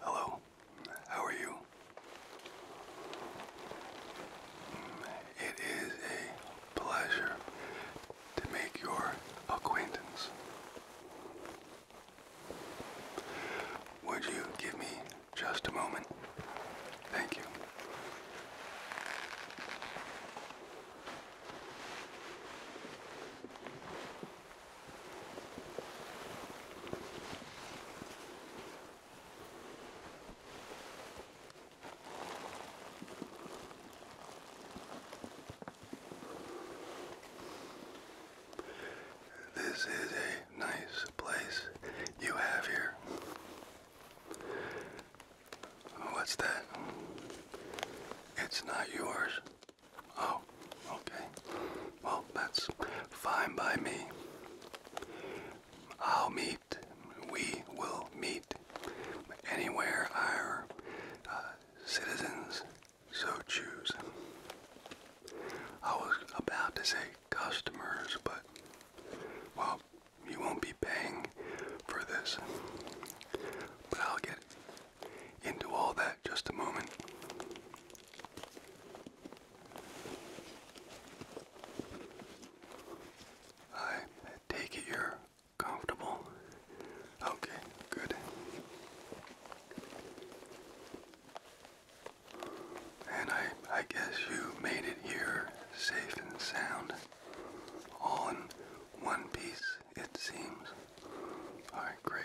Hello, how are you? It is a pleasure to make your acquaintance. Would you give me just a moment? Thank you. This is a nice place you have here. What's that? It's not yours. Oh, okay. Well, that's fine by me. I'll meet, we will meet anywhere our uh, citizens so choose. I was about to say customers, but, well, you won't be paying for this. But I'll get into all that just a moment. I take it you're comfortable. Okay, good. And I, I guess you made it here safe and sound, all in one piece it seems. Alright, great.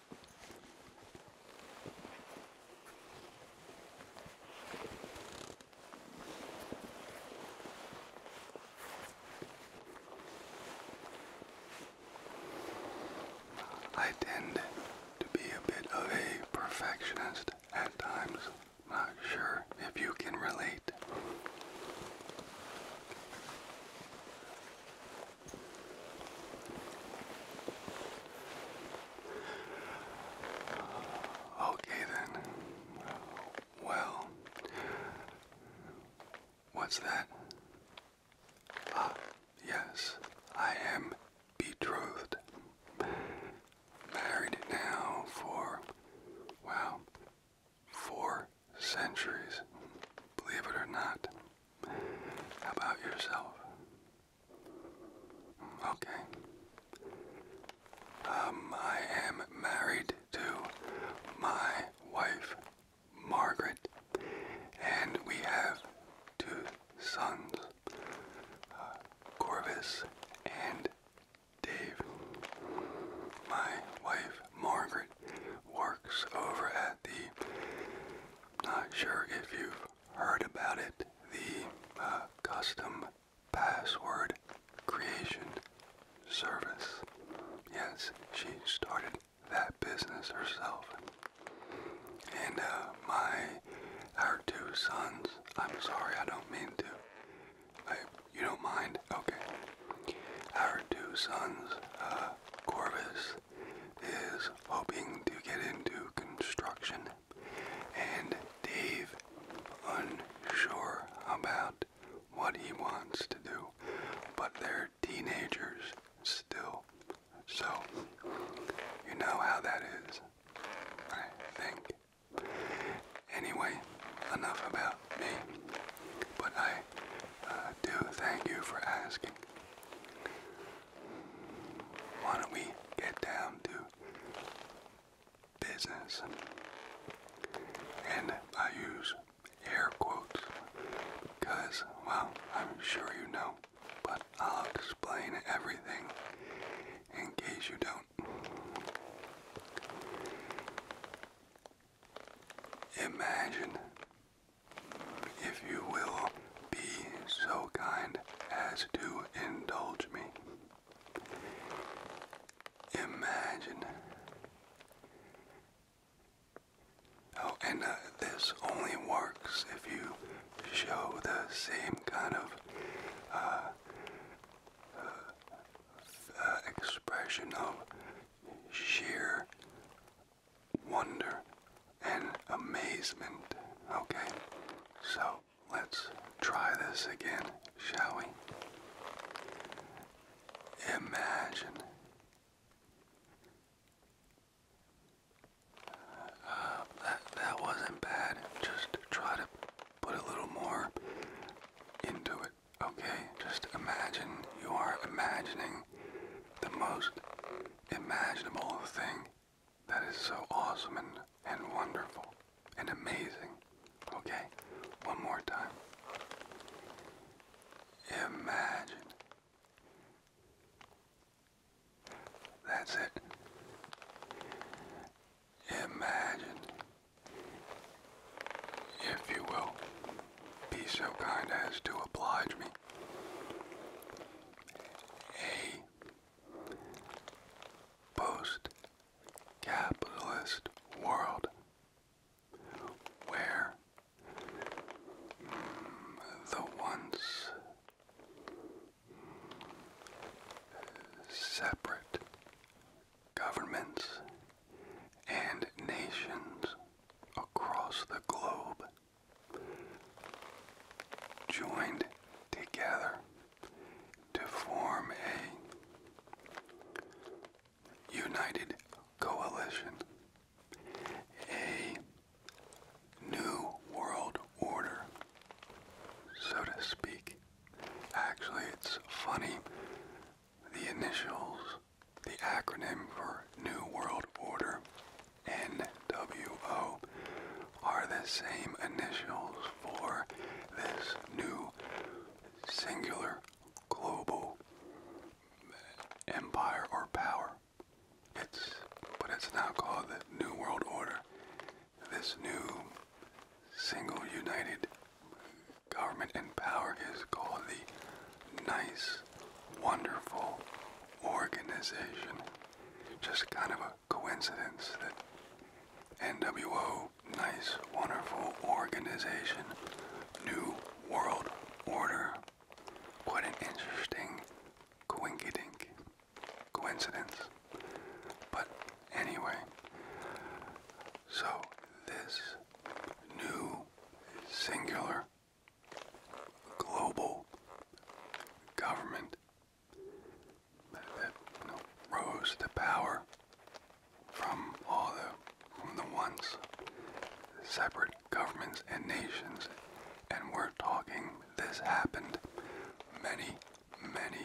I tend to be a bit of a perfectionist at times. Not sure if you can relate. Okay then. Well, what's that? Ah, yes, I am betrothed. Married now for, wow, four centuries. Believe it or not. How about yourself? Okay. Um, I am married to my wife, Margaret, and we have two sons, uh, and Dave. My wife, Margaret, works over at the. Not heard about it, the uh, custom password creation service. Yes, she started that business herself. And uh, my, our two sons, I'm sorry, I don't mean to. you don't mind? Okay. Our two sons, uh, Corvus, is hoping to get into construction and Dave unsure about what he wants to do, but they're teenagers still. So, you know how that is, I think. Anyway, enough about me, but I uh, do thank you for asking. Why don't we get down to business? And I use air quotes because, well, I'm sure you know, but I'll explain everything in case you don't. Imagine, if you will, be so kind as to indulge me. Imagine. Oh, and uh, this only works if you show the same kind of uh, uh, expression of sheer wonder and amazement. Okay, so let's try this again, shall we? Imagine. Uh, that, that wasn't bad. Just try to put a little more into it. Okay, just imagine you are imagining the most imaginable thing that is so awesome and, and wonderful and amazing. Okay, one more time. Imagine. That's it. Imagine, if you will, be so kind as to oblige me. A post capitalist world where the once separate governments and nations across the globe joined together to form a united coalition, a new world order, so to speak. Actually, it's funny, the initials, the acronym for New World Order NWO are the same initials for this new singular global empire or power. It's but it's now called the New World Order. This new single united government and power is called the nice, wonderful organization. Just kind of coincidence that NWO, nice, wonderful organization, New World Order. What an interesting coinkydink coincidence. But anyway, so this new singular global government that, rose to power from all the from the once separate governments and nations. And we're talking this happened many, many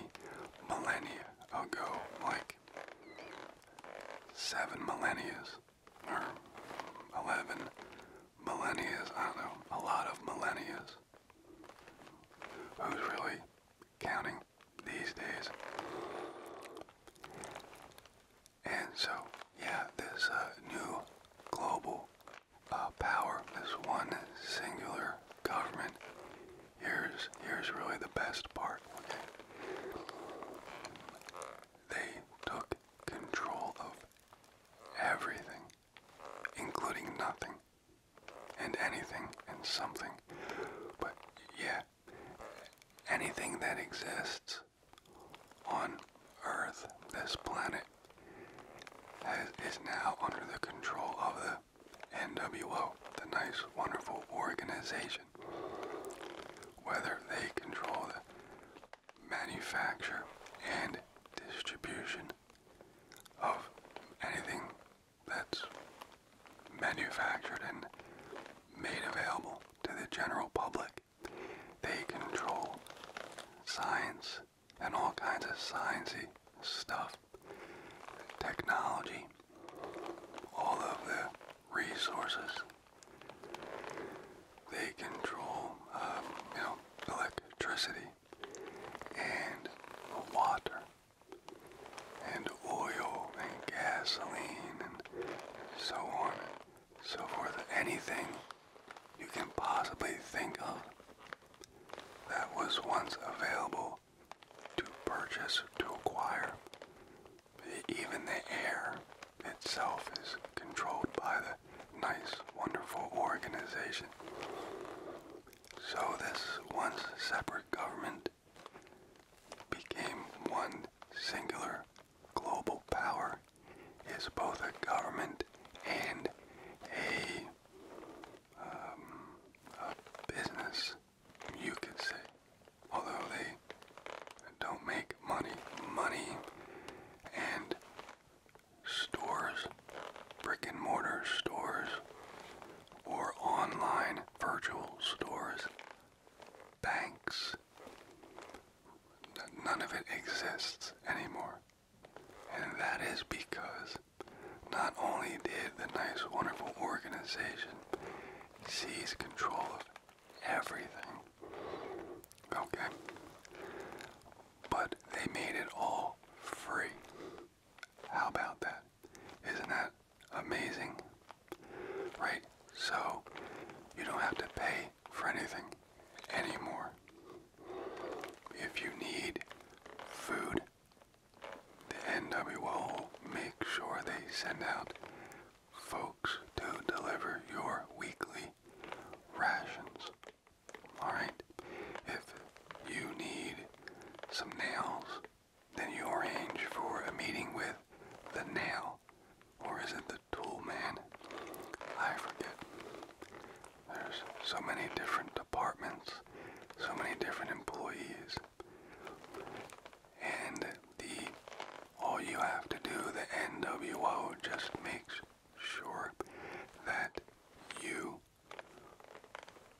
millennia ago, like seven millennias or eleven millennias, I know, a lot of millennias Who's really counting these days? And so, yeah, this uh, new global uh, power, this one singular government, here's, here's really the best part. They took control of everything, including nothing and anything and something. But yeah, anything that exists on Earth, this planet, is now under the control of the NWO, the nice, wonderful organization. Whether they control the manufacture and distribution of anything that's manufactured and made available to the general public. They control science and all kinds of sciencey stuff, technology, all of the resources. They control, um, you know, electricity, and water and oil and gasoline and so on and so forth. Anything you can possibly think of that was once available to purchase, to acquire. Even the air itself is controlled by the nice, wonderful organization so this once separate government became one singular global power is both a government and um, a, business, you could say. Although they don't make money, money and stores, brick and mortar stores, or online virtual stores, banks. None of it exists anymore. And that is because not only did the nice, wonderful organization seize control of everything, okay, but they made it all free. How about that? Isn't that amazing? Right? So, you don't have to pay for anything anymore. If you need food, the NWO make sure they send out folks to deliver your weekly rations. Alright? If you need some nails, then you arrange for a meeting with the nail. Or is it the tool man? I forget. There's so many different departments, so many different employees. And the all you have to do, the NWO just makes sure that you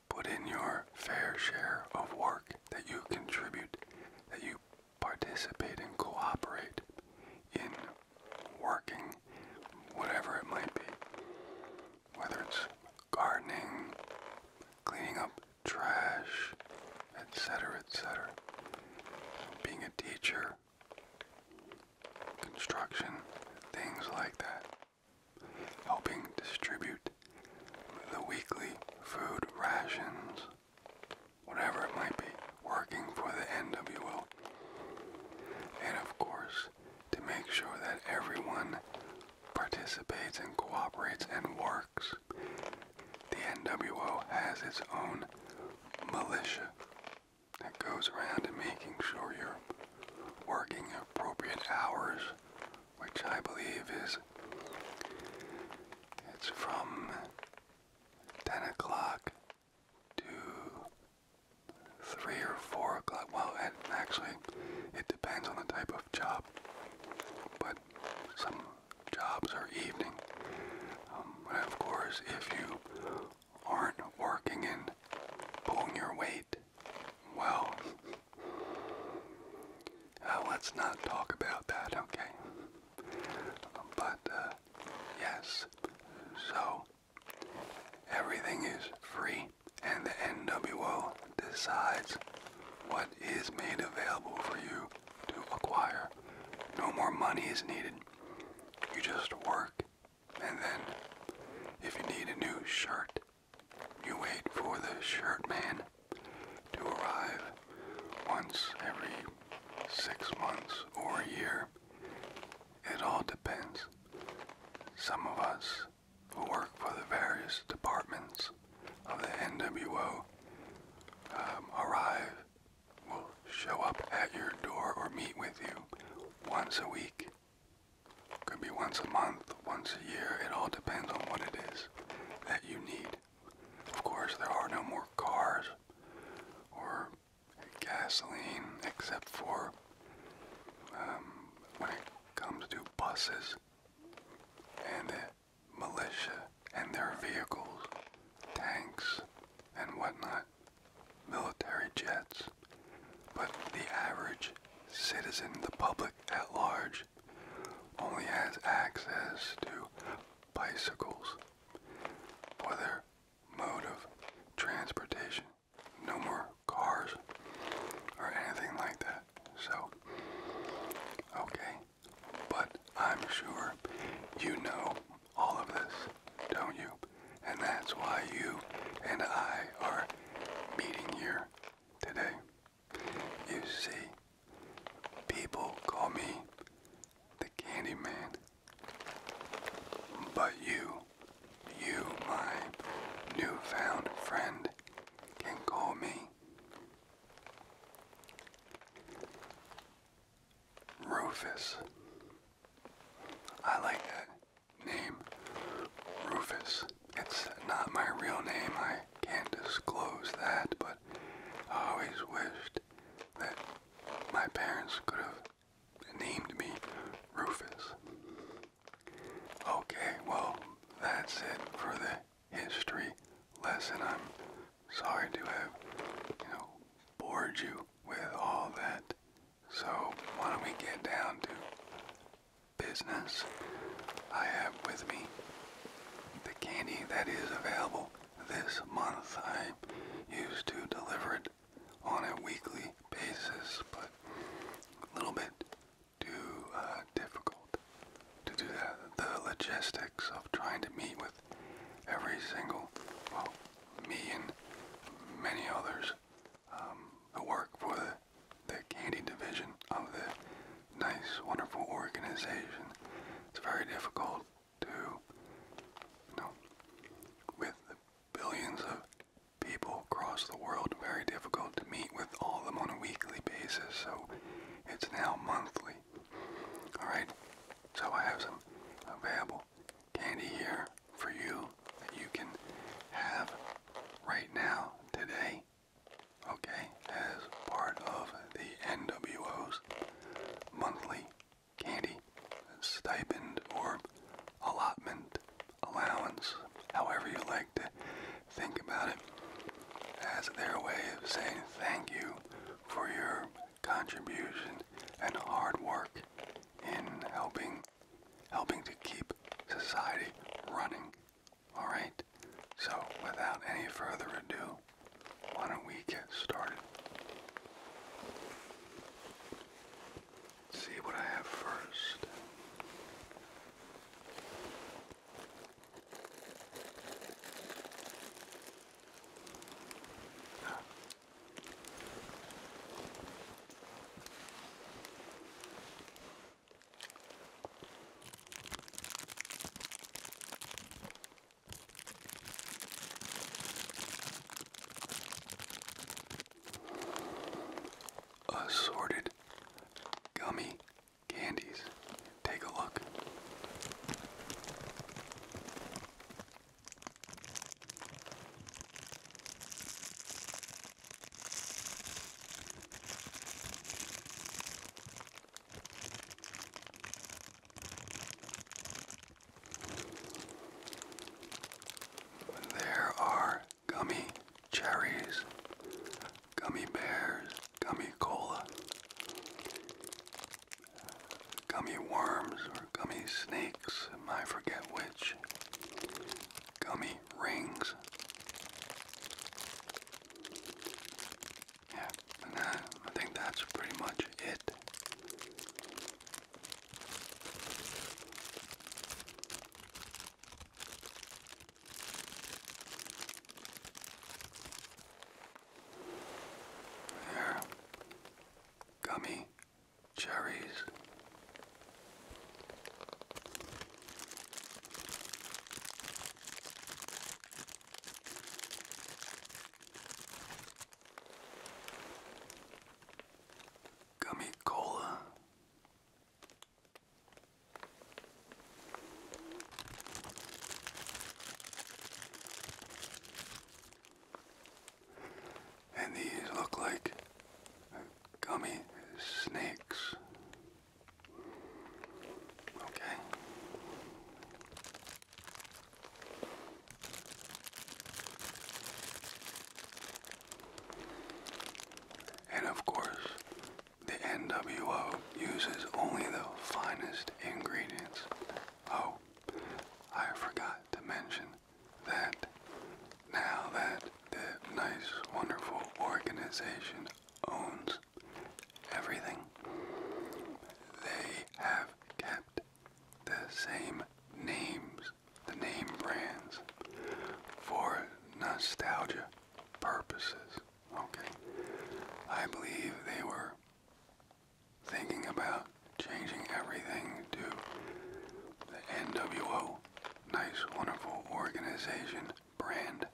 Put in your fair share of work that you contribute, that you participate and cooperate in working, whatever it might be. Whether it's gardening, cleaning up trash, etc., etc., being a teacher, construction, things like that helping distribute the weekly food rations, whatever it might be, working for the NWO. And of course, to make sure that everyone participates and cooperates and works, the NWO has its own militia that goes around to making sure you're working appropriate hours, which I believe is it's from 10 o'clock to 3 or 4 o'clock. Well, actually, it depends on the type of job, but some jobs are evening. Um, but of course, if you aren't working and pulling your weight, well, uh, let's not talk about that, okay? But, uh, yes, so everything is free, and the NWO decides what is made available for you to acquire. No more money is needed. You just work and then, if you need a new shirt, you wait for the shirt man to arrive once every six months or a year. It all depends. Some of us who work for the various departments of the NWO um, arrive, will show up at your door or meet with you once a week could be once a month, once a year, it all depends on what it is that you need. Of course, there are no more cars or gasoline except for um, when it comes to buses and the militia and their vehicles, tanks and whatnot, military jets. But the average citizen, the public at large, only has access to bicycles for their mode of transportation. No more cars or anything like that. So, okay. But I'm sure you know all of this, don't you? And that's why you and I are meeting here today. You see, people call me the Candy Man. But you, you, my newfound friend, can call me Rufus. I like that name Rufus. It's not my real name, I can't disclose that, but I always wished that my parents could have named me Rufus. Okay, well, that's it for the history lesson. I'm sorry to have, you know, bored you with all that. So, why don't we get down to business, I have with me the candy that is available this month. I used to deliver it on a weekly basis, but a little bit too uh, difficult to do that. The logistics of trying to meet with every single, well, me and many others um, who work for the the candy division of the nice, wonderful organization. It's very difficult to, you know, with the billions of people across the world, very difficult to meet with all of them on a weekly basis, so it's now monthly. Alright, so I have some available candy here for you that you can have right now, today, okay, as part of the NWO's monthly candy stipend or allotment allowance, however you like to think about it, as their way of saying thank you for your contribution and hard work in helping helping to keep society running. Alright? So, without any further ado, why don't we get started? Let's see what I have first. Assorted gummy candies. Take a look. There are gummy cherries, gummy bears, gummy cola, gummy worms, or gummy snakes, I forget which gummy rings. Yeah, and I think that's pretty much it. There, gummy cherries Gummy Cola. And these look like gummy snakes. Okay. And of course, the NWO uses only the finest ingredients. Oh, I forgot to mention that now that the nice, wonderful organization owns everything, they have kept the same names, the name brands, for nostalgia purposes. Okay. I believe they were thinking about changing everything to the NWO nice, wonderful organization brand,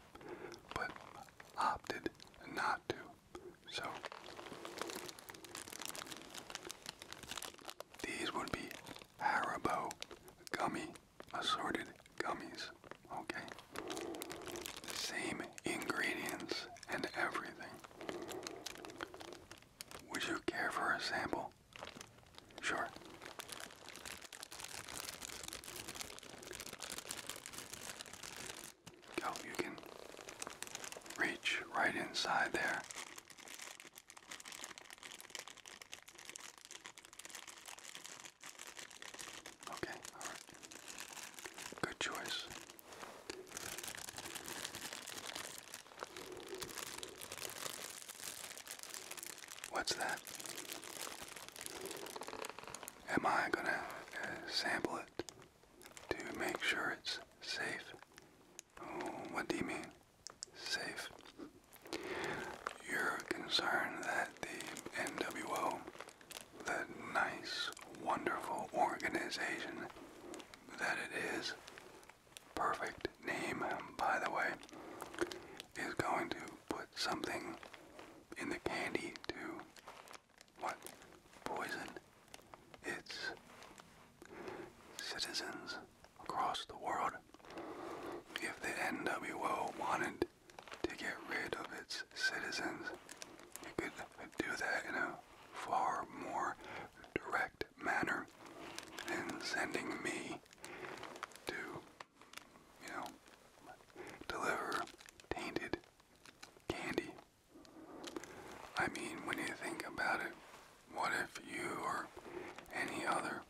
but opted not to. So these would be Haribo gummy assorted gummies. Okay, same ingredients and everything. Would you care for a sample? Sure. Oh, you can reach right inside there. Okay, all right. Good choice. What's that? Am I gonna uh, sample it to make sure it's safe? Oh, what do you mean? Safe? You're that the NWO, the nice, wonderful organization that it is, perfect name, by the way, is going to put something in the candy to what? Poison its citizens across the world. If the NWO wanted to get rid of its citizens, it could do that in a far more direct manner than sending me to you know, deliver tainted candy. I mean, when you think about it, what if you or any other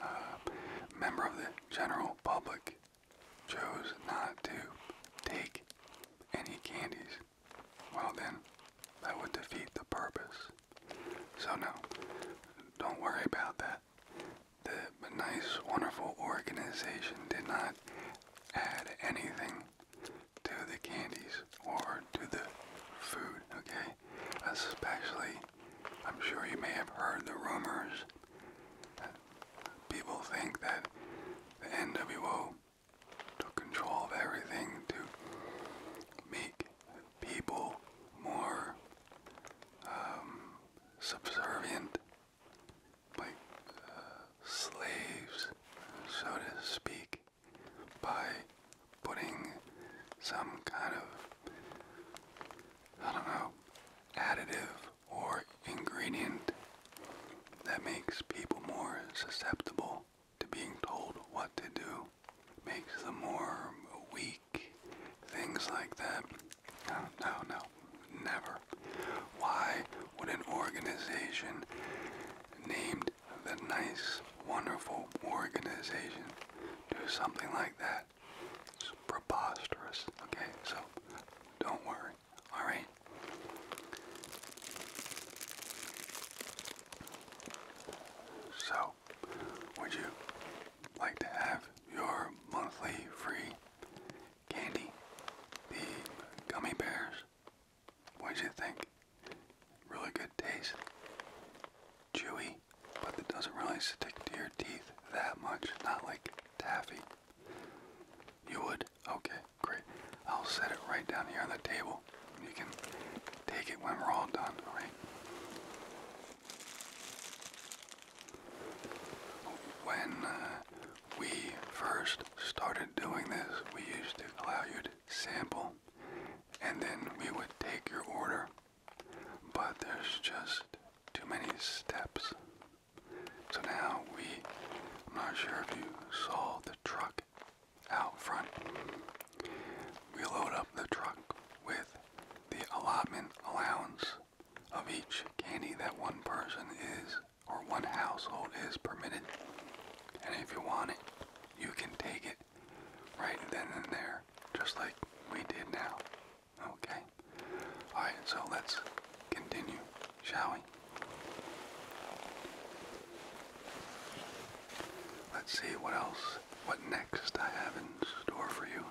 uh, member of the general public chose not to take any candies? Well, then, that would defeat the purpose so no, don't worry about that. The nice, wonderful organization did not add anything to the candies or to the food, okay? Especially, I'm sure you may have heard the rumors that people think that the NWO took control of everything to make people more um, subservient, like uh, slaves, so to speak, by putting some kind of, I don't know, additive or ingredient that makes people more susceptible to being told what to do makes them more weak, things like that. No, no, no, never. Why would an organization named the nice, wonderful organization do something like that? It's preposterous, okay? So don't worry, all right? So, would you like to have your monthly free candy, the gummy bears? what do you think? Really good taste. Chewy, but it doesn't really stick to your teeth that much. Not like taffy. You would? Okay, great. I'll set it right down here on the table. You can take it when we're all done, alright? When uh, we first started doing this, we used to allow you to sample and then we would take your order. But there's just too many steps. So now we, I'm not sure if you saw the truck out front. We load up the truck with the allotment allowance of each candy that one person is or one household is permitted. And if you want it, you can take it right then and there, just like we did now. Okay? Alright, so let's continue, shall we? Let's see what else, what next I have in store for you.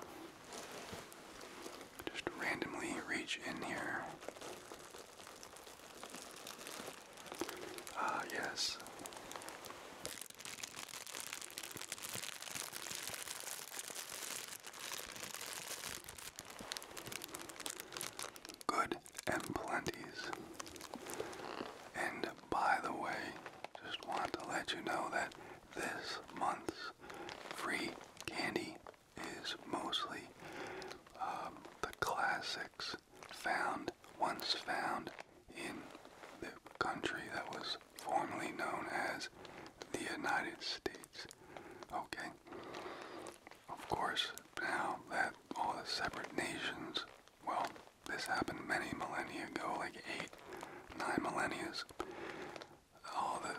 Just randomly reach in here. Ah, yes. Good and plenties. And by the way, just want to let you know that this month's free candy is mostly um, the classics found, once found in the country that was formerly known as the United States. Okay? Of course, now that all the separate nations, well, this happened many millennia ago, like eight, nine millennia all the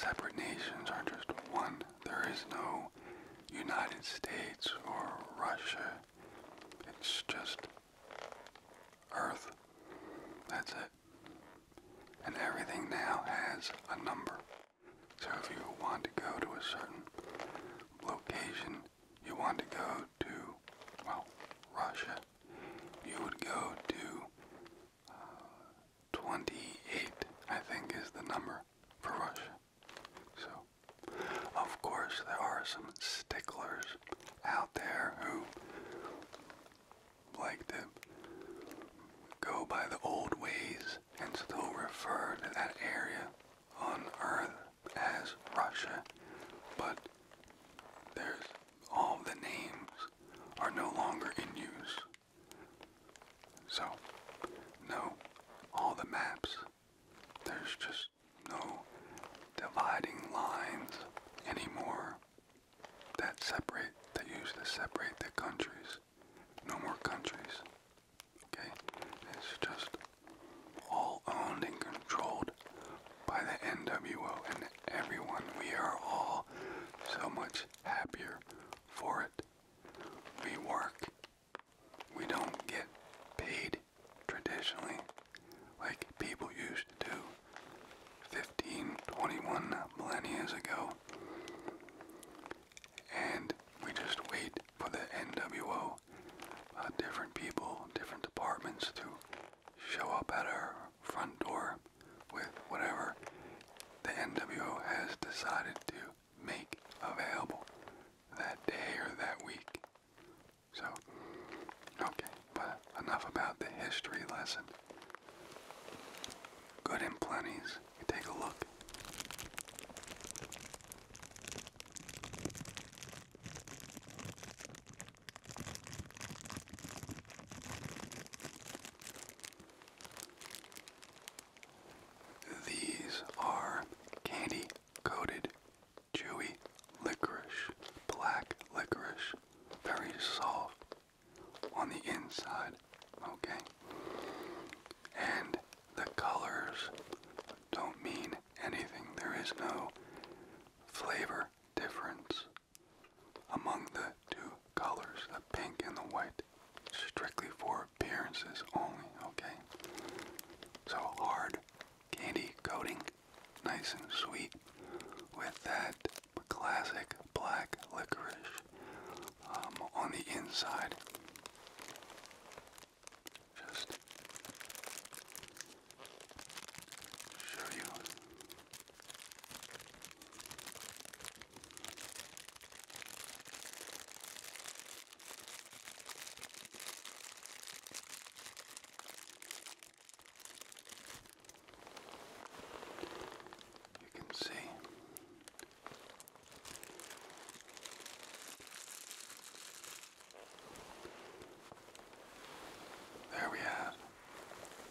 separate nations are just one. There is no United States or Russia. It's just Earth. That's it. And everything now has a number. So if you want to go to a certain location, you want to go to, well, Russia, you would go to uh, 28, I think is the number for Russia. So, of course, there are some sticklers out there who like to go by the old ways and still refer to that area on Earth as Russia, but there's all the names are no longer in use. So, no, all the maps, there's just no dividing lines anymore that separate, that used to separate the countries. No more countries. Okay? It's just all owned and controlled by the NWO and everyone. We are all so much happier for it. We work. We don't get paid traditionally like people used to do 15, 21 millennia ago. And we just wait for the NWO, uh, different people, different departments to show up at our front door with whatever the NWO has decided to make available that day or that week. So, okay, but enough about the history lesson. Good and plenties. take a look. These are candy coated chewy licorice, black licorice, very soft on the inside, okay? And the colors don't mean anything. There is no flavor difference among the two colors, the pink and the white, strictly for appearances only, okay? So hard candy coating, nice and sweet, with that classic black licorice um, on the inside. Just show you. You can see there we have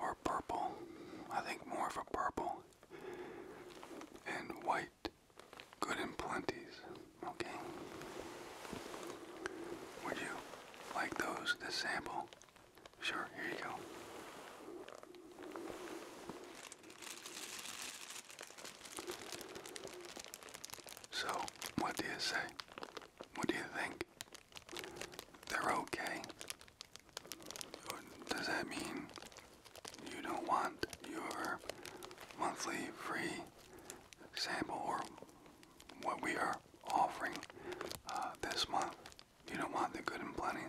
or purple. I think more of a purple. And white. Good in plenties. Okay. Would you like those, this sample? Sure, here you go. So, what do you say? What do you think? They're okay. Does that mean you don't want your monthly free sample or what we are offering uh, this month? You don't want the good and plenty?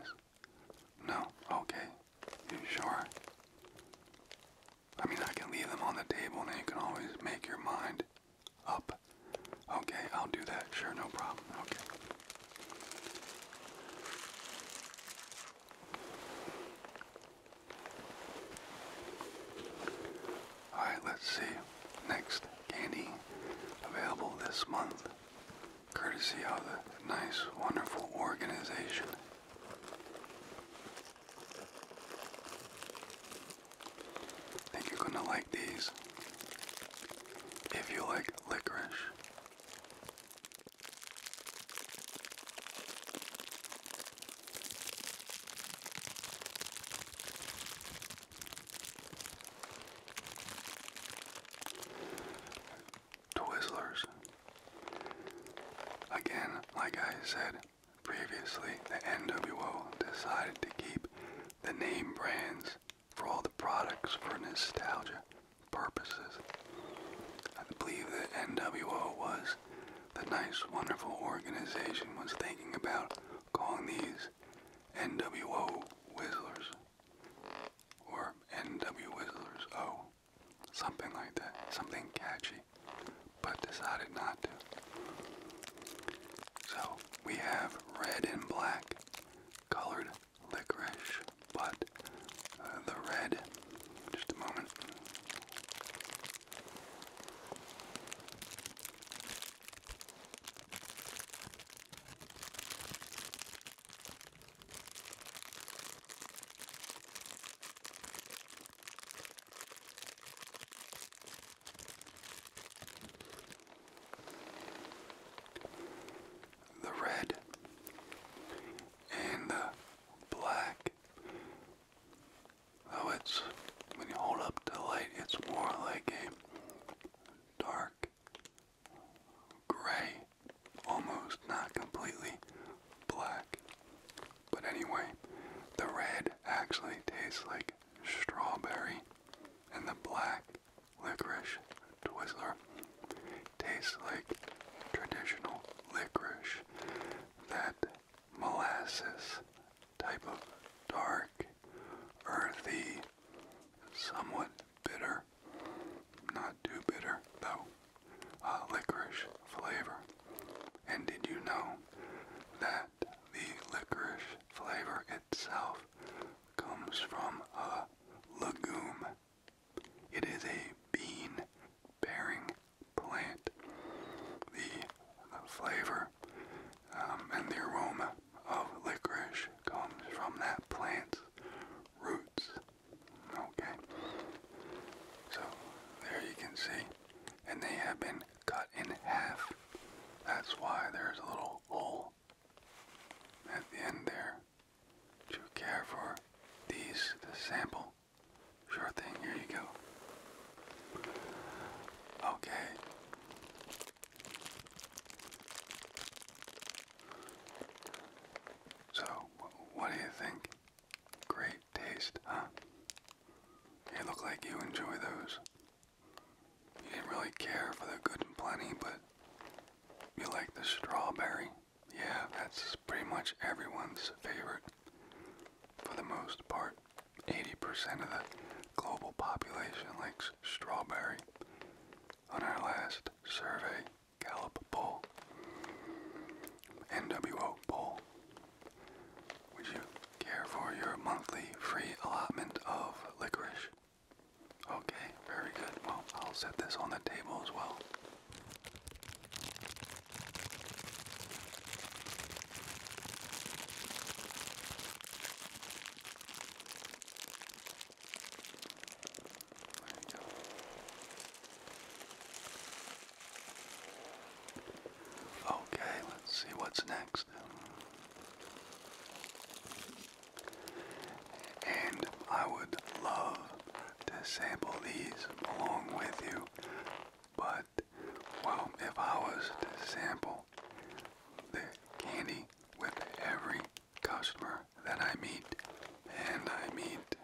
No? Okay. sure? I mean, I can leave them on the table and you can always make your mind up. Okay, I'll do that. Sure, no problem. Okay. Alright, let's see. Next candy available this month, courtesy of the nice, wonderful organization. think you're gonna like these if you like licorice. Twizzlers. Again, like I said previously, the NWO decided to keep the name brands for all the products for nostalgia purposes. I believe that NWO was the nice, wonderful organization was thinking about calling these NWO Whistlers or NWO Whistlers O, something like that, something catchy, but decided not to. So we have red and black colored licorice, but uh, the red. Just a moment the red and the black. Though it's when you hold up to light, it's more like a dark gray, almost not completely black. But anyway, the red actually tastes like strawberry, and the black Licorice Twizzler tastes like traditional licorice, that molasses type of dark, earthy, somewhat bitter, not too bitter though, uh, licorice flavor. And did you know that the licorice flavor itself comes from a legume it is a bean bearing plant. The, flavor um, and the aroma of licorice comes from that plant's roots. Okay. So there you can see. And they have been cut in half. That's why there's a little hole at the end there do you care for these, the sample? Sure thing, here you go. Okay. So, what do you think? Great taste, huh? You look like you enjoy those. You didn't really care for the good and plenty, but you like the strawberry. Yeah, that's pretty much everyone's favorite for the most part. 80% of the global population likes strawberry. On our last survey, Gallup poll, NWO poll, would you care for your monthly free allotment of licorice? Okay, very good. Well, I'll set this on the table as well. Okay, let's see what's next. And I would love to sample these along with you. But, well, if I was to sample the candy with every customer that I meet, and I meet,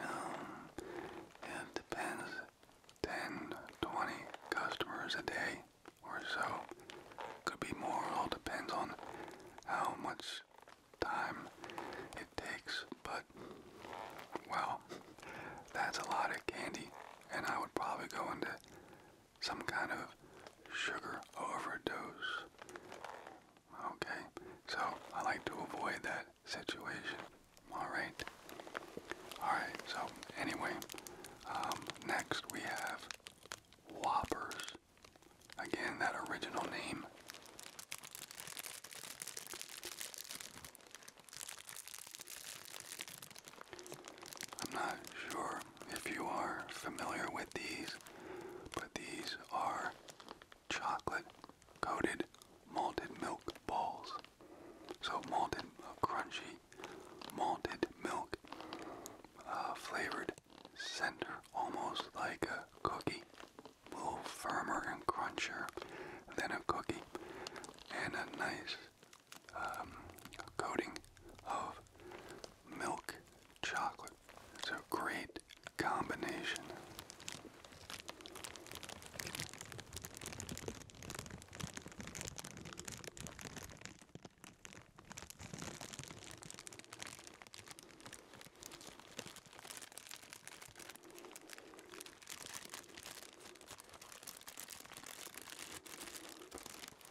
um, it depends, 10, 20 customers a day or so. Could be more, it all depends on how much time it takes, but well, that's a lot of candy, and I would probably go into some kind of sugar overdose. Okay, so I like to avoid that situation. Alright. Alright, so anyway, um, next we have Whoppers. Again, that original name. I'm not sure if you are familiar with these, but these are chocolate coated malted milk balls. So, malted, uh, crunchy, malted milk, uh, flavored center, almost like a cookie a little firmer and crunchier than a cookie, and a nice um, coating of milk chocolate. It's a great combination.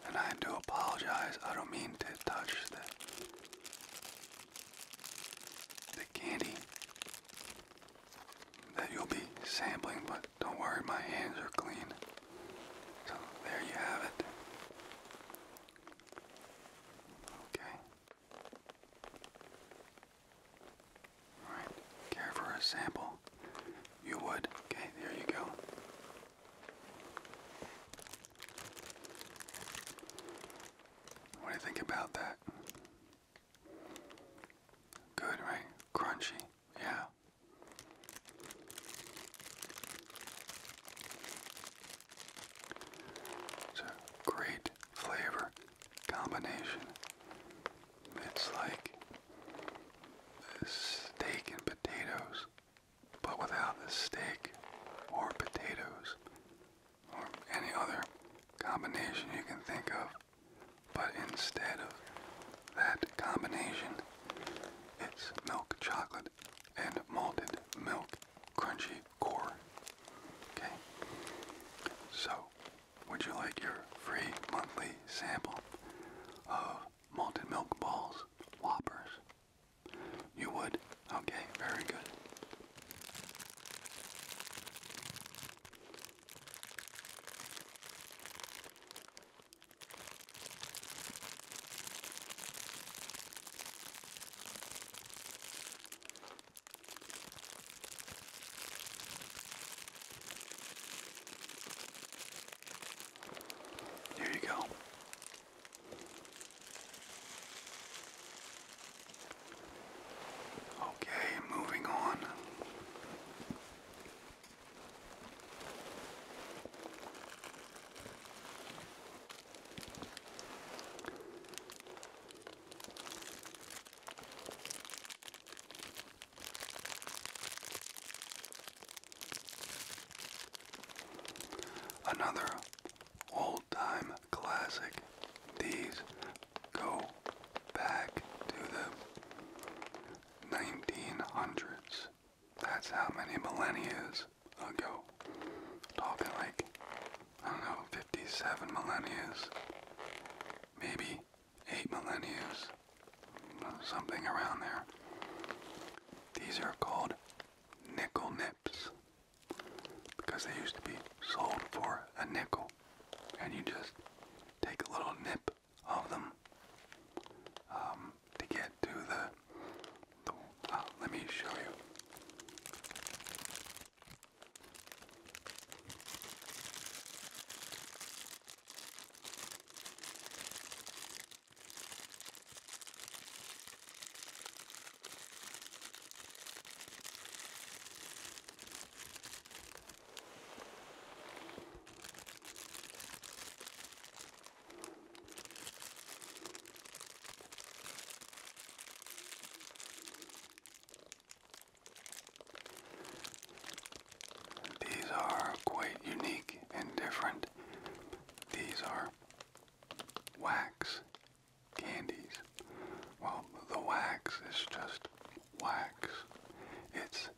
And I do apologize, I don't mean to touch the, the candy that you'll be sampling, but don't worry, my hands are clean. So there you have it. Okay. Alright, care for a sample? You would. Okay, there you go. What do you think about that? Good, right? Crunchy, yeah. It's a great flavor combination. It's like steak and potatoes, but without the steak or potatoes or any other combination you can think of. But instead of that combination, it's milk chocolate and malted milk crunchy core. Okay? So, would you like your free monthly sample of malted milk balls, whoppers? You would? Okay, very good. There you go. Okay, moving on. Another old time classic. These go back to the 1900s. That's how many millennia ago. Talking like, I don't know, 57 millennials, maybe 8 millennials, something around there. These are called nickel nips because they used to be sold for a nickel, and you just take a little nip of them um, to get to the uh, let me show you. These are quite unique and different. These are wax candies. Well, the wax is just wax. It's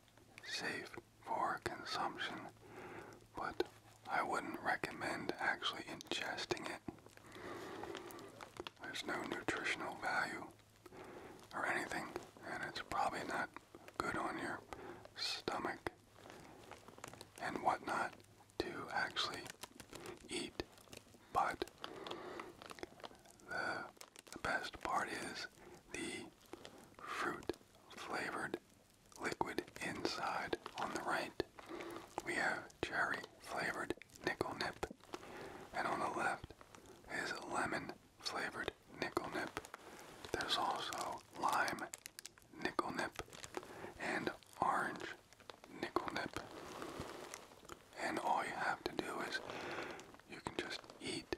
safe for consumption, but I wouldn't recommend actually ingesting it. There's no nutritional value or anything, and it's probably not good on your stomach and whatnot to actually eat. But the, best part is the fruit flavored liquid inside on the right. We have cherry flavored nickel nip. And on the left is lemon flavored nickel nip. There's also lime nickel nip and orange nickel nip. And all you have to do is you can just eat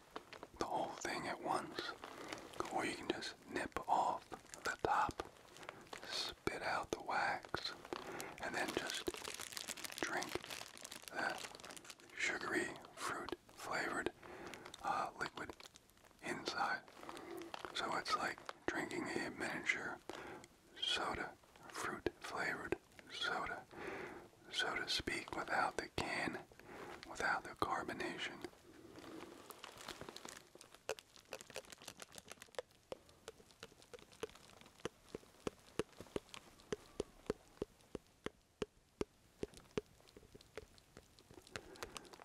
the whole thing at once, or you can just nip off the top, spit out the wax, and then just drink that sugary fruit flavored uh, liquid inside. So it's like drinking a miniature soda, fruit flavored soda, so to speak, without the can, without the carbonation.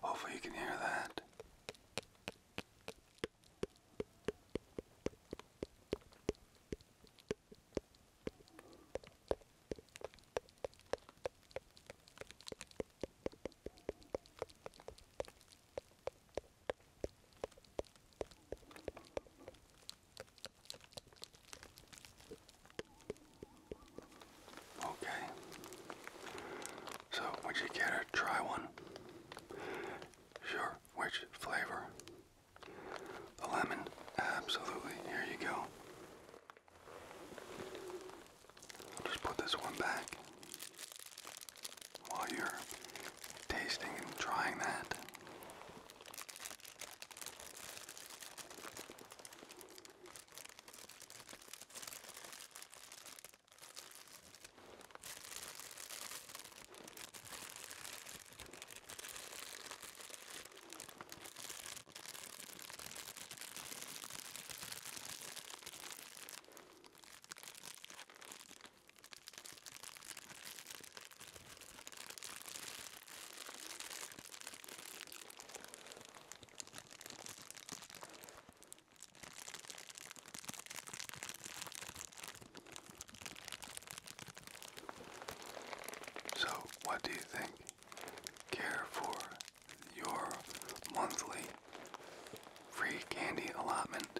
Hopefully, you can hear that. Okay. So, would you care to try one? Sure. Which flavor? The lemon. Absolutely. Here you go. just put this one back while you're tasting and trying that. So, what do you think? Care for your monthly free candy allotment?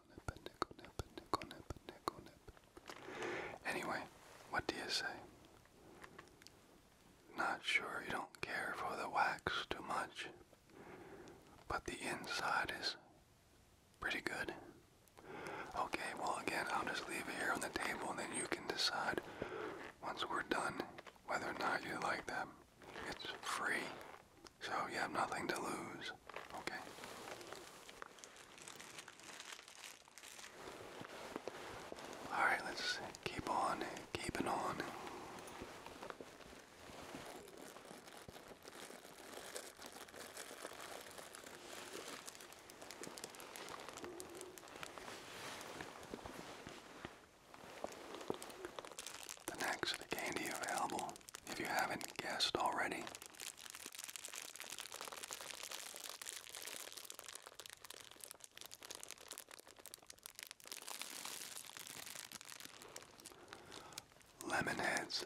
Anyway, what do you say? Not sure you don't care for the wax too much, but the inside is pretty good. Okay, well again, I'll just leave it here on the table and then you can decide once we're done whether or not you like them. It's free. So you have nothing to lose, okay? Alright, let's keep on keeping on. The next candy available if you haven't guessed already. Lemonheads.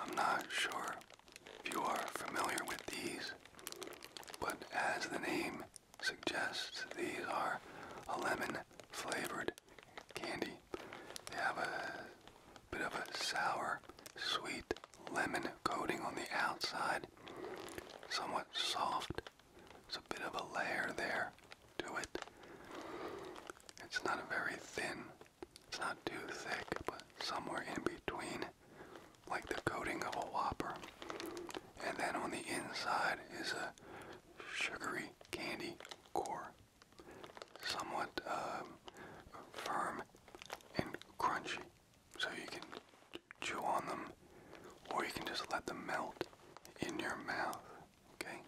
I'm not sure if you are familiar with these, but as the name suggests, these are a lemon flavored candy. They have a bit of a sour, sweet lemon coating on the outside, somewhat soft. There's a bit of a layer there to it. It's not a very thin it's not too thick, but somewhere in between, like the coating of a Whopper. And then on the inside is a sugary candy core, somewhat um, firm and crunchy, so you can chew on them, or you can just let them melt in your mouth okay?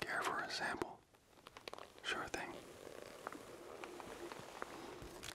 Care for a sample? Sure thing.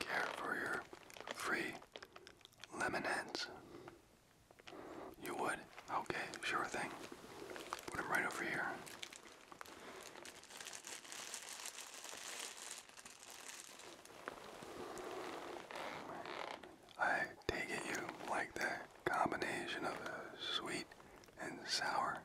Care for your free lemonades. You would? Okay, sure thing. Put right over here. I take it you like the combination of sweet and sour.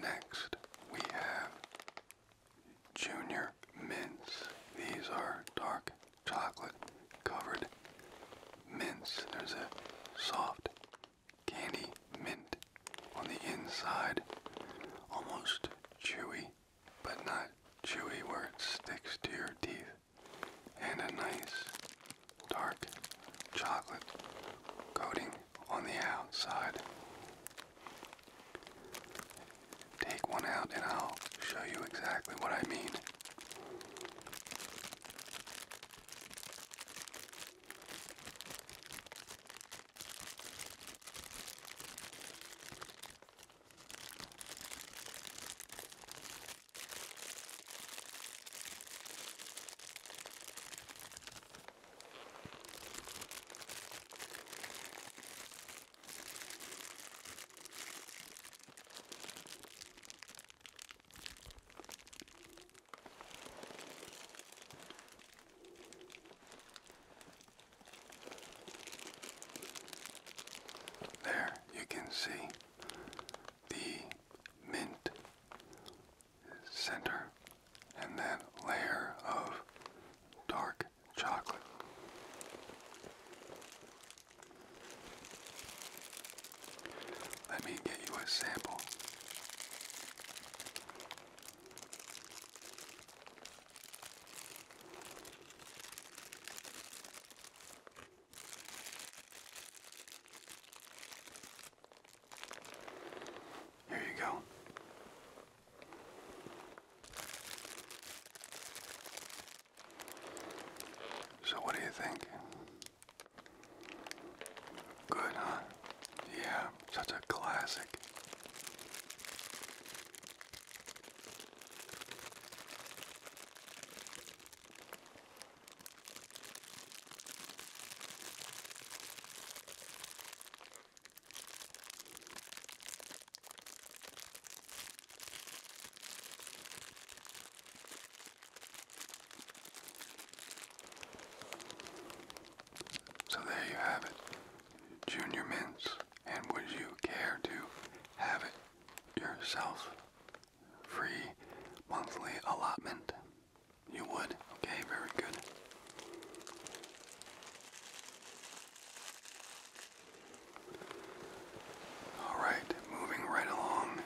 Next, we have Junior Mints. These are dark chocolate covered mints. There's a soft candy mint on the inside, almost chewy, but not chewy where it sticks to your teeth. And a nice dark chocolate coating on the outside. Take one out and I'll show you exactly what I mean. There you can see the mint center, and then layer of dark chocolate. Let me get you a sample. Here you go. So, what do you think? Good, huh? Yeah, such a classic. So there you have it, Junior Mints. And would you care to have it yourself? Free monthly allotment. You would? Okay, very good. All right, moving right along.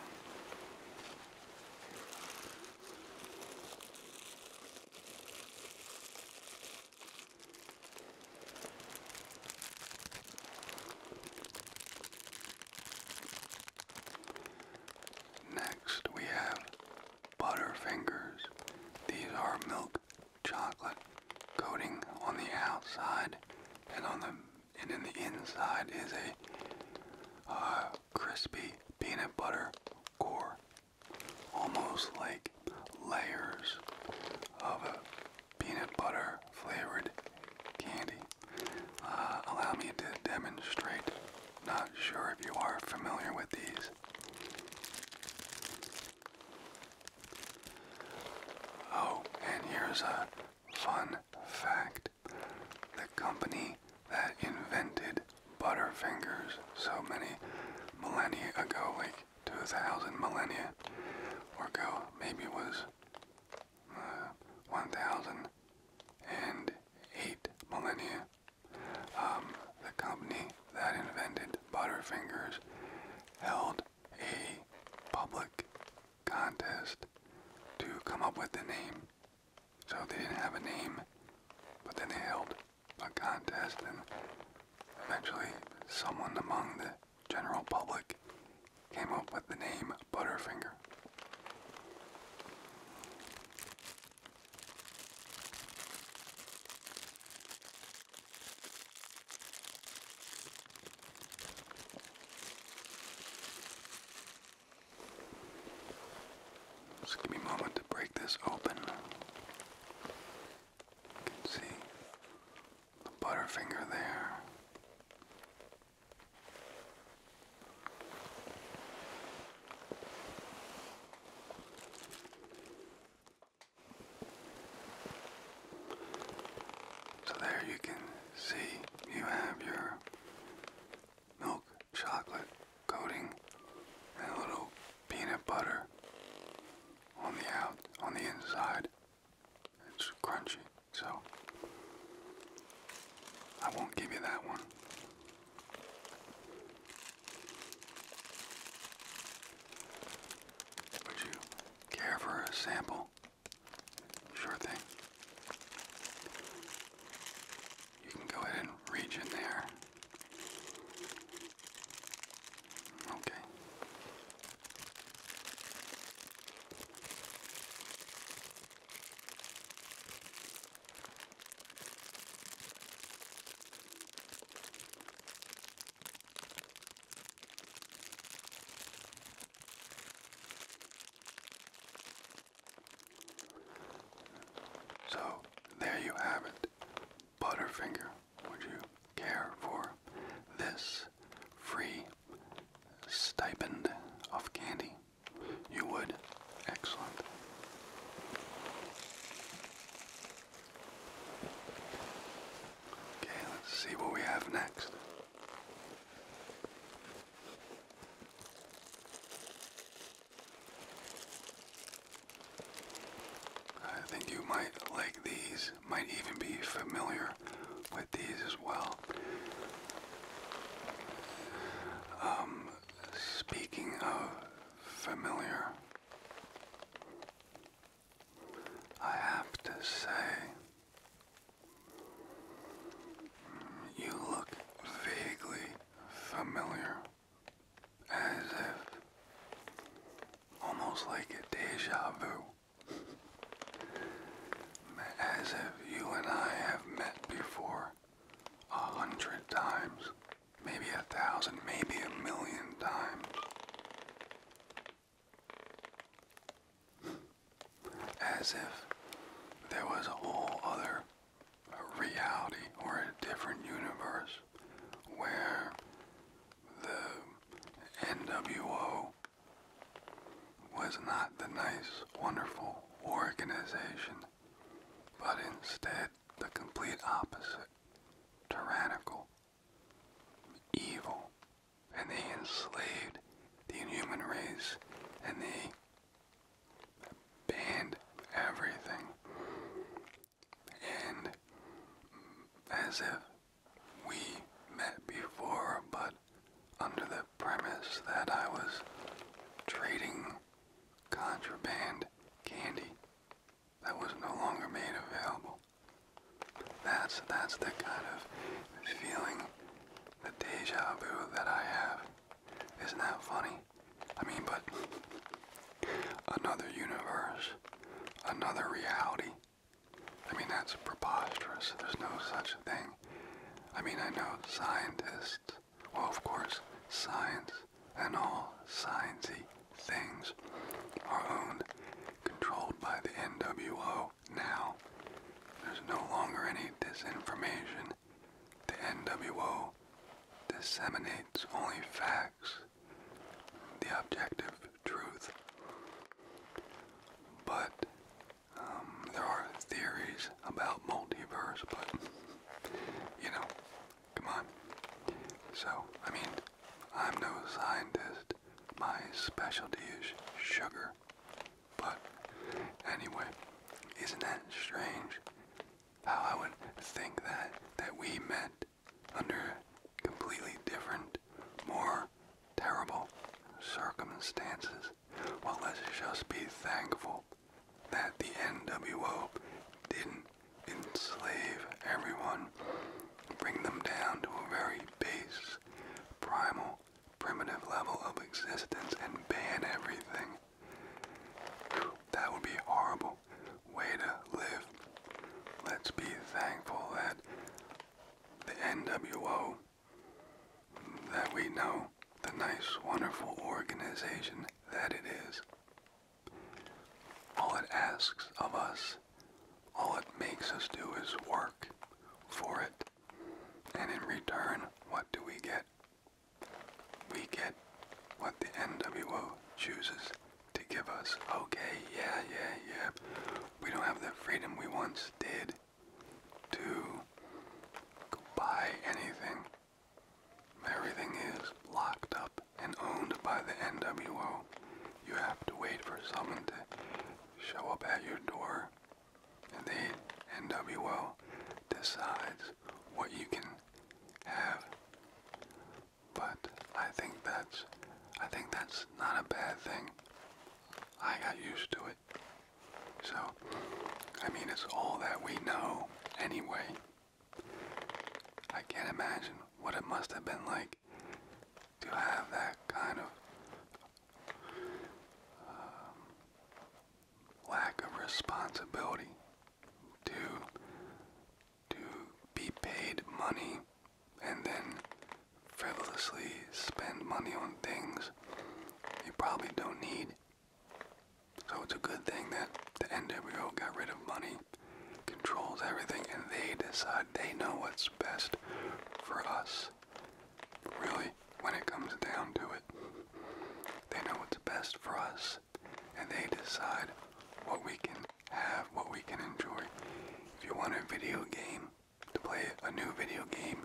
Next, we have Butterfingers. These are milk chocolate coating on the outside, and on the and in the inside is a uh, crispy peanut butter core, almost like layers of a peanut butter flavored candy. Uh, allow me to demonstrate. Not sure if you are familiar with these. Oh, and here's a fun fact. The company that invented Butterfingers so many millennia ago, like 2,000 millennia or go, maybe was uh, 1,008 millennia um, the company that invented Butterfingers held a public contest to come up with the name. So they didn't have a name, but then they held a contest and eventually someone among the general public came up with the name Butterfinger. Just give me a moment to break this open. You can see the butterfinger there. So there you can see you have your milk chocolate coating and a little peanut butter on the out on the inside. It's crunchy, so I won't give you that one. Would you care for a sample? Sure thing. You can go ahead and reach in there. Okay. So there you have it, Butterfinger. Would you care for this free stipend of candy? You would. Excellent. Okay, let's see what we have next. I think you might like these, might even be familiar with these as well. Um, speaking of familiar. I have to say, you look vaguely familiar, as if almost like a deja vu, as if you and I have met before a hundred times maybe a thousand, maybe a million times. As if there was a whole other reality or a different universe where the NWO was not the nice, wonderful organization, but instead the complete opposite tyrannical, evil, and they enslaved the inhuman race and they banned everything. And as if we met before, but under the premise that I was trading contraband candy that was no longer made available. That's that's the kind of feeling, the deja vu that I have. Isn't that funny? I mean, but another universe, another reality. I mean, that's preposterous. There's no such thing. I mean, I know scientists. Well, of course, science and all sciencey things are owned, controlled by the NWO now. There's no longer any disinformation. The NWO disseminates only facts, the objective truth. But um, there are theories about multiverse, but you know, Come on. So, I mean, I'm no scientist. My specialty is sugar. But anyway, isn't that strange? How I would think that that we met under completely different, more terrible circumstances. Well, let's just be thankful that the NWO didn't enslave everyone, bring them down to a very base, primal, primitive level of existence, and ban everything. That would be a horrible way to live. Let's be thankful that the NWO, that we know, the nice, wonderful organization that it is. All it asks of us, all it makes us do is work for it. And in return, what do we get? We get what the NWO chooses to give us. Okay, yeah, yeah, yeah. We don't have the freedom we once did to buy anything Everything is locked up and owned by the NWO. You have to wait for someone to show up at your door, and the NWO decides what you can have. But I think that's I think that's not a bad thing. I got used to it. So, I mean, it's all that we know anyway. I can't imagine what it must have been like to have that kind of um, lack of responsibility to to be paid money and then frivolously spend money on things you probably don't need. So it's a good thing that the NWO got rid of money controls everything and they decide they know what's best for us. Really, when it comes down to it, they know what's best for us and they decide what we can have, what we can enjoy. If you want a video game, to play a new video game,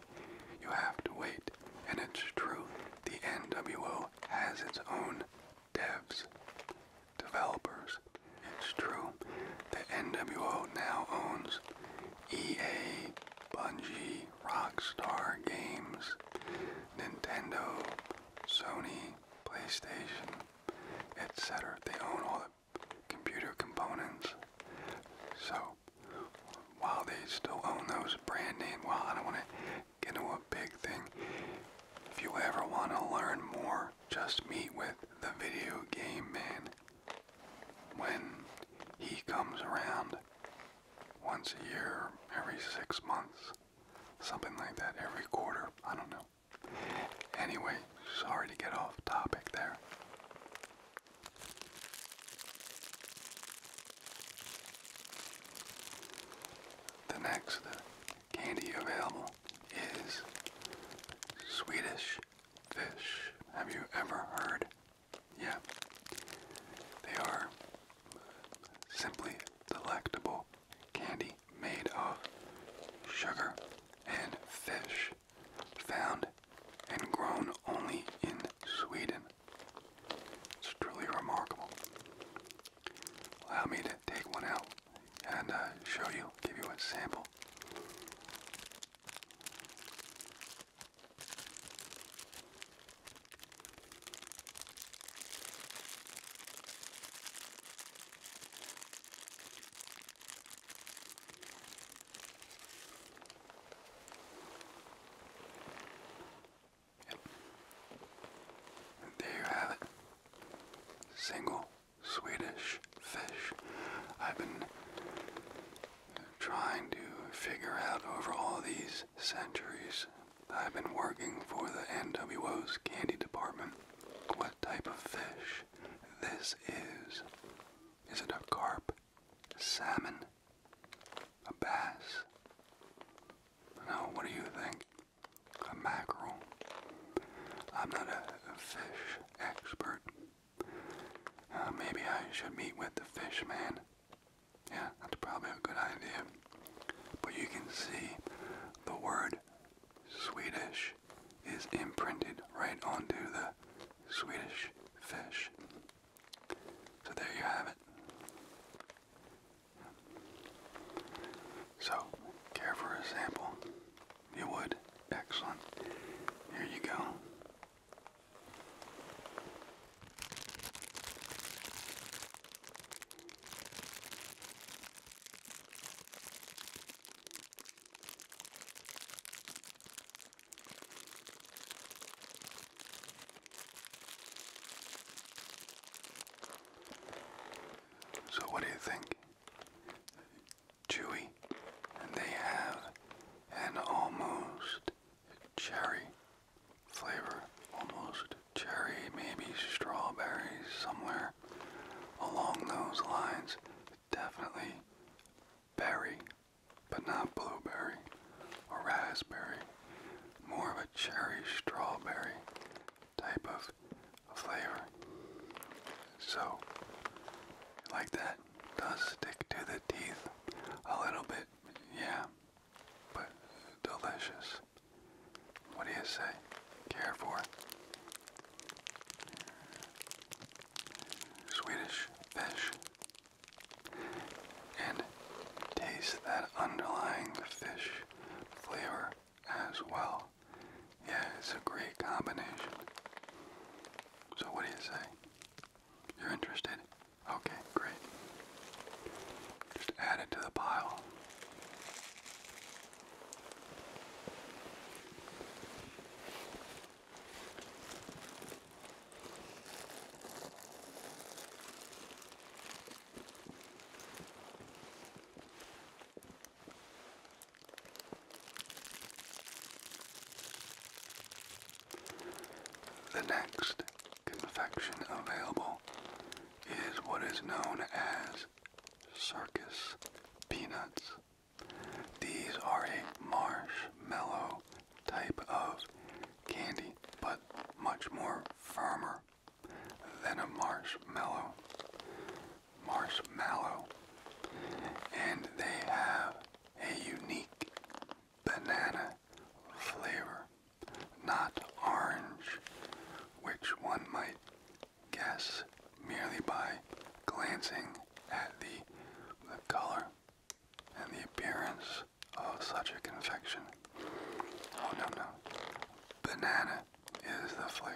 you have to wait. And it's true, the NWO has its own devs, developers. It's true. The NWO now owns EA, Bungie, Rockstar Games, Nintendo, Sony, PlayStation, etc. They own all the computer components. So, while they still own those brand name, well, I don't want to into a big thing. If you ever want to learn more, just meet with the video game man when he comes around once a year, every six months, something like that, every quarter, I don't know. Anyway, sorry to get off topic there. The next candy available is Swedish fish. Have you ever heard? Yeah. They are simply delectable candy made of sugar and fish found and grown only in Sweden. It's truly remarkable. Allow me to take one out and uh, show you, give you a sample. Yep. there you have it single Swedish fish. I've been trying to figure out over all these centuries. I've been working for the NWO's candy department. What type of fish this is? Is it a carp, salmon, a bass? Now, what do you think? a mackerel. I'm not a fish expert. Uh, maybe I should meet with the fish man. Yeah, that's probably a good idea. But you can see the word Swedish is imprinted right onto the Swedish fish. So there you have it. So, care for a sample? You would? Excellent. Here you go. So, what do you think? chewy, and they have an almost cherry flavor, almost cherry, maybe strawberries somewhere along those lines. Definitely berry, but not blueberry or raspberry. More of a cherry strawberry type of flavor. So, like that does stick to the teeth a little bit, yeah, but delicious. What do you say? Care for Swedish fish. And taste that underlying fish flavor as well. Yeah, it's a great combination. So what do you say? You're interested? Okay, great. Just add it to the pile. The next confection available is what is known as circus peanuts. These are a marshmallow type of candy, but much more firmer then a marshmallow, marshmallow, and they have a unique banana flavor, not orange, which one might guess merely by glancing at the, the color and the appearance of such a confection. Oh no no. Banana that is the flavor.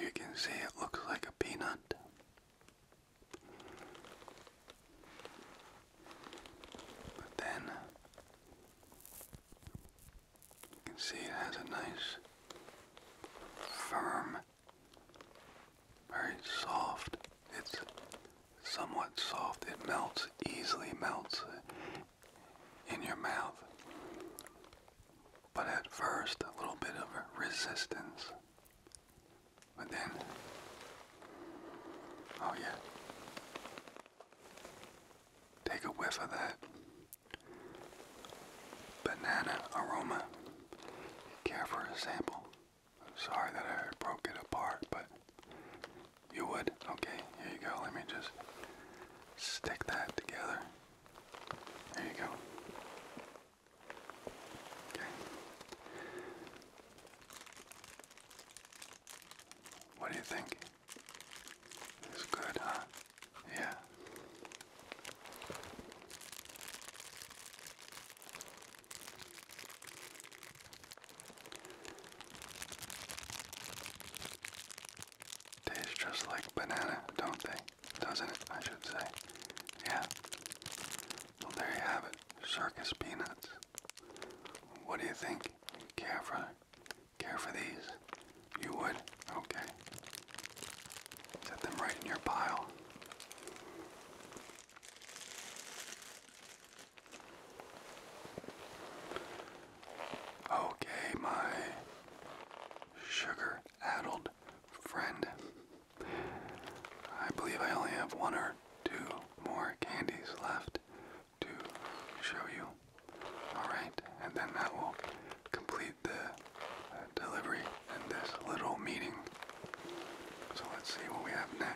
You can see it looks like a peanut. But then you can see it has a nice firm very soft. It's somewhat soft. It melts, easily melts uh, in your mouth. But at first, a little bit of resistance. But then, oh yeah. Take a whiff of that banana aroma. Care for a sample? I'm sorry that I broke it apart, but you would. Okay, here you go. Let me just stick that together. There you go. Okay. What do you think? It's good, huh? Yeah. Tastes just like banana, don't they? Doesn't it, I should say. Yeah. Well, there you have it. Circus peanuts. What do you think? Care for, care for these? You would? Okay. Set them right in your pile. Okay, my sugar addled friend. I believe I only have one or two more candies left to show you. Alright, and then that will complete the uh, delivery and this little meeting. So let's see what we have next.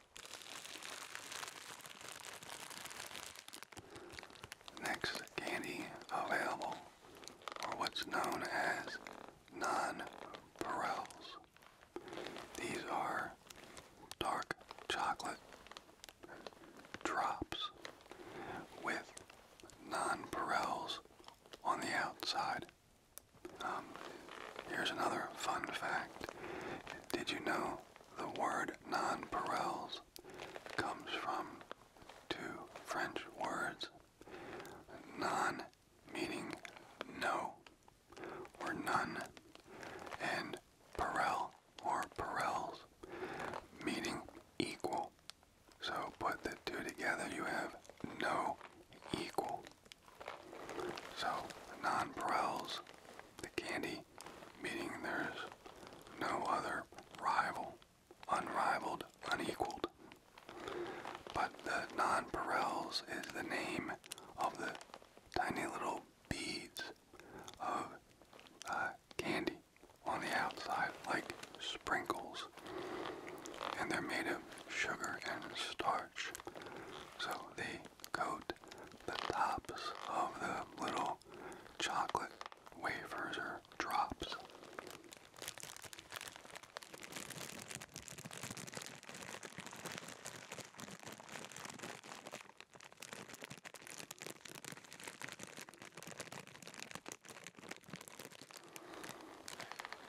Next candy available are what's known as non-Purells. These are dark chocolate drops with non-Purells on the outside. Um, here's another fun fact. Did you know the word nonpareils comes from two French words. Non meaning no or none, and pareil or parels meaning equal. So put the two together, you have no equal. So the nonpareils, the candy meaning there is no other rival, unrivaled, unequaled. But the nonpareils is the name of the tiny little beads of uh, candy on the outside, like sprinkles. And they're made of sugar and starch. So they coat the tops of the little chocolate wafers or drops.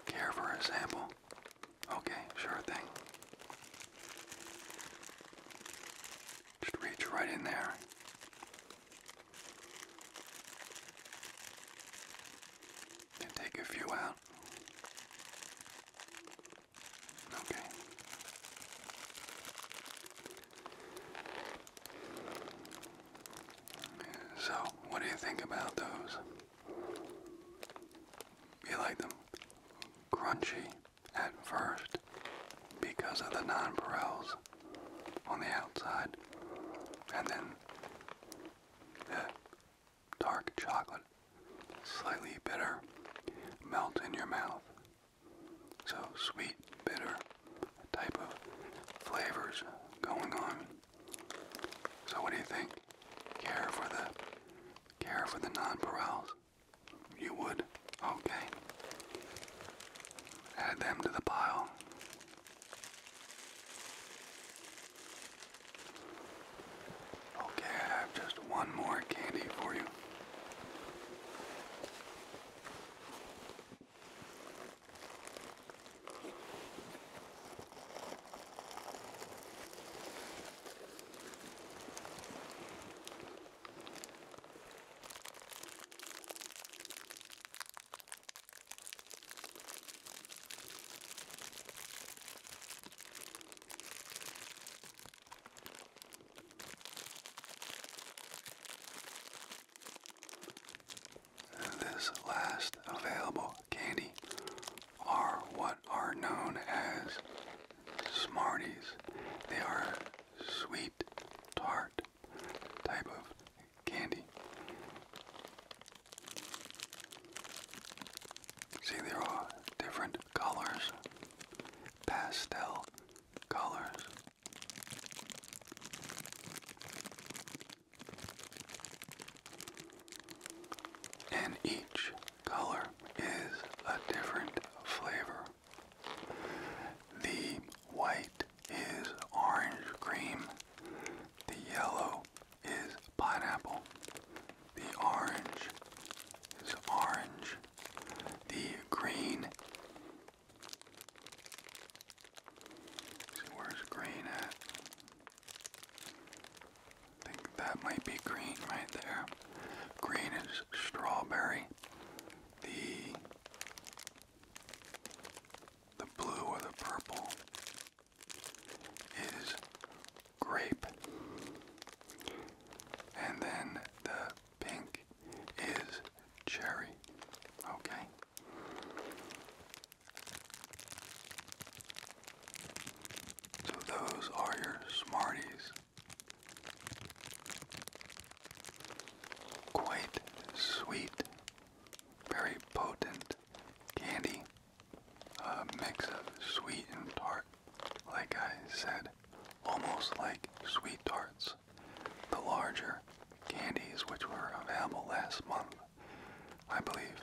Care for a Okay, sure thing. Just reach right in there. And take a few out. Okay. So, what do you think about those? You like them? Crunchy at first because of the nonpareils on the outside and then the dark chocolate, slightly bitter, melt in your mouth. So sweet, bitter type of flavors going on. So what do you think? Care for the care for the nonpareils? You would? Okay. Add them to the pile. Okay, I have just one more candy for you. This last available candy are what are known as Smarties. They are sweet tart type of candy. See, there are different colors, pastel colors. And each color is a different flavor. The white is orange cream. The yellow is pineapple. The orange is orange. The green. where's green at? I think that might be green right there. Green is strawberry the the blue or the purple is grape. And then the pink is cherry. Okay. So those are your Smarties Quite sweet, very potent candy, a mix of sweet and tart, like I said, almost like sweet tarts. The larger candies which were available last month, I believe.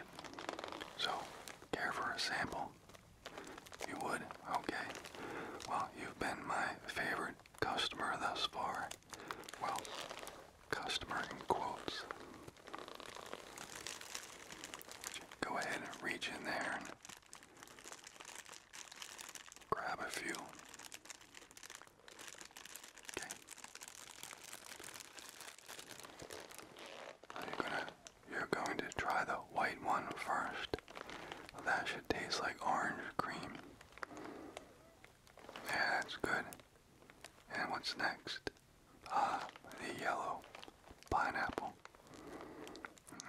So, care for a sample? You would? Okay. Well, you've been my favorite customer thus far. Well, customer in quotes. Go ahead and reach in there and grab a few. Okay. you're gonna you're going to try the white one first. That should taste like orange cream. Yeah, that's good. And what's next? Ah, the yellow pineapple.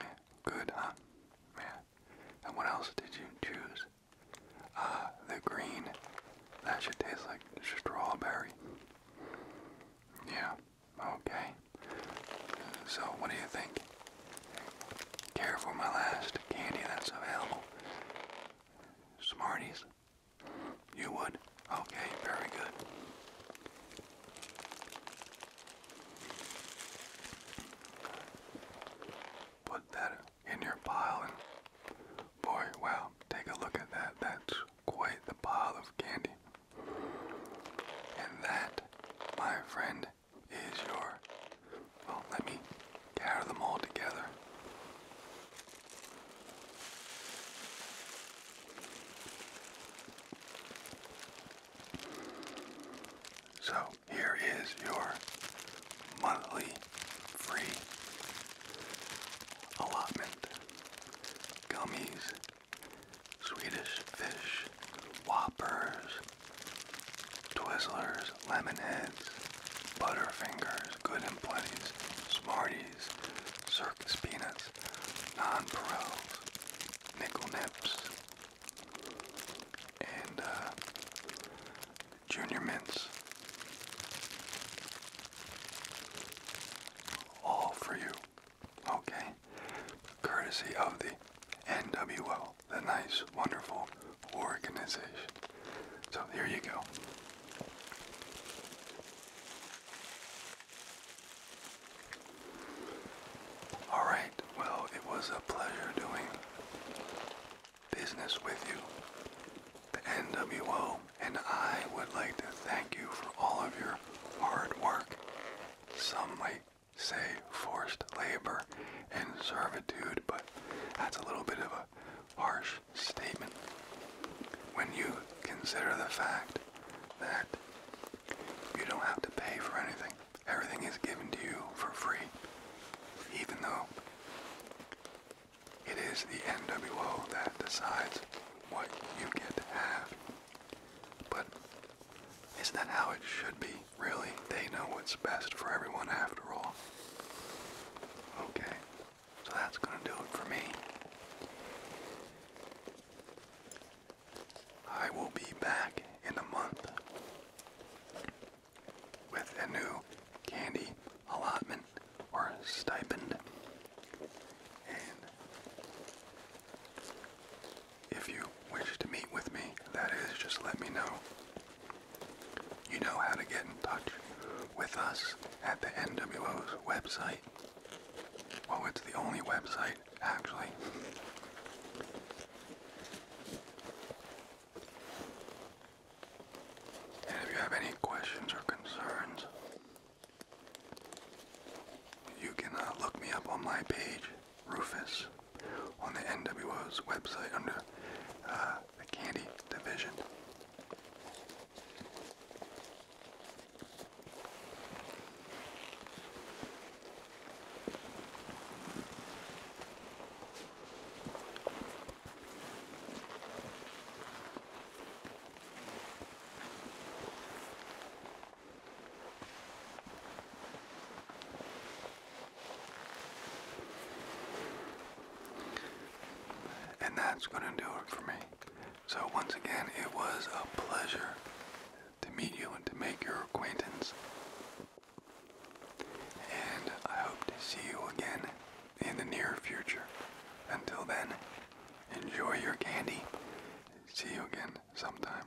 Yeah, good, huh? Yeah. And what else did you choose? Ah, the green. That should taste like strawberry. Yeah, okay. So, what do you think? Care for my last candy that's available? Smarties? You would? Okay, very good. Put that in your pile and boy, wow, take a look at that. That's quite the pile of candy. And that, my friend, is your. Well, let me gather them all together. So here is your monthly free allotment. Gummies, Swedish fish, whoppers, Twizzlers, Lemonheads, Butterfingers, Good and Plenties, Smarties, Circus Peanuts, Non Perils, Nickel Nips, and uh, Junior Mints. All for you, okay? Courtesy of the N.W.L the nice, wonderful organization. So here you go. All right, well, it was a pleasure doing business with you. The NWO and I would like to thank you for all of your hard work. Some might say forced labor and servitude, but that's a little bit of a harsh statement when you consider the fact that you don't have to pay for anything. Everything is given to you for free, even though it is the NWO that decides what you get to have. But isn't that how it should be? Really, they know what's best for everyone after all. Okay, so that's gonna do it for me. I will be back in a month with a new candy allotment or stipend. If you wish to meet with me, that is, just let me know. You know how to get in touch with us at the NWO's website. Well, it's the only website, actually. And if you have any questions or concerns, you can uh, look me up on my page, Rufus on the NWO's website under uh, the candy division. And that's going to do it for me. So, once again, it was a pleasure to meet you and to make your acquaintance. And I hope to see you again in the near future. Until then, enjoy your candy. See you again sometime.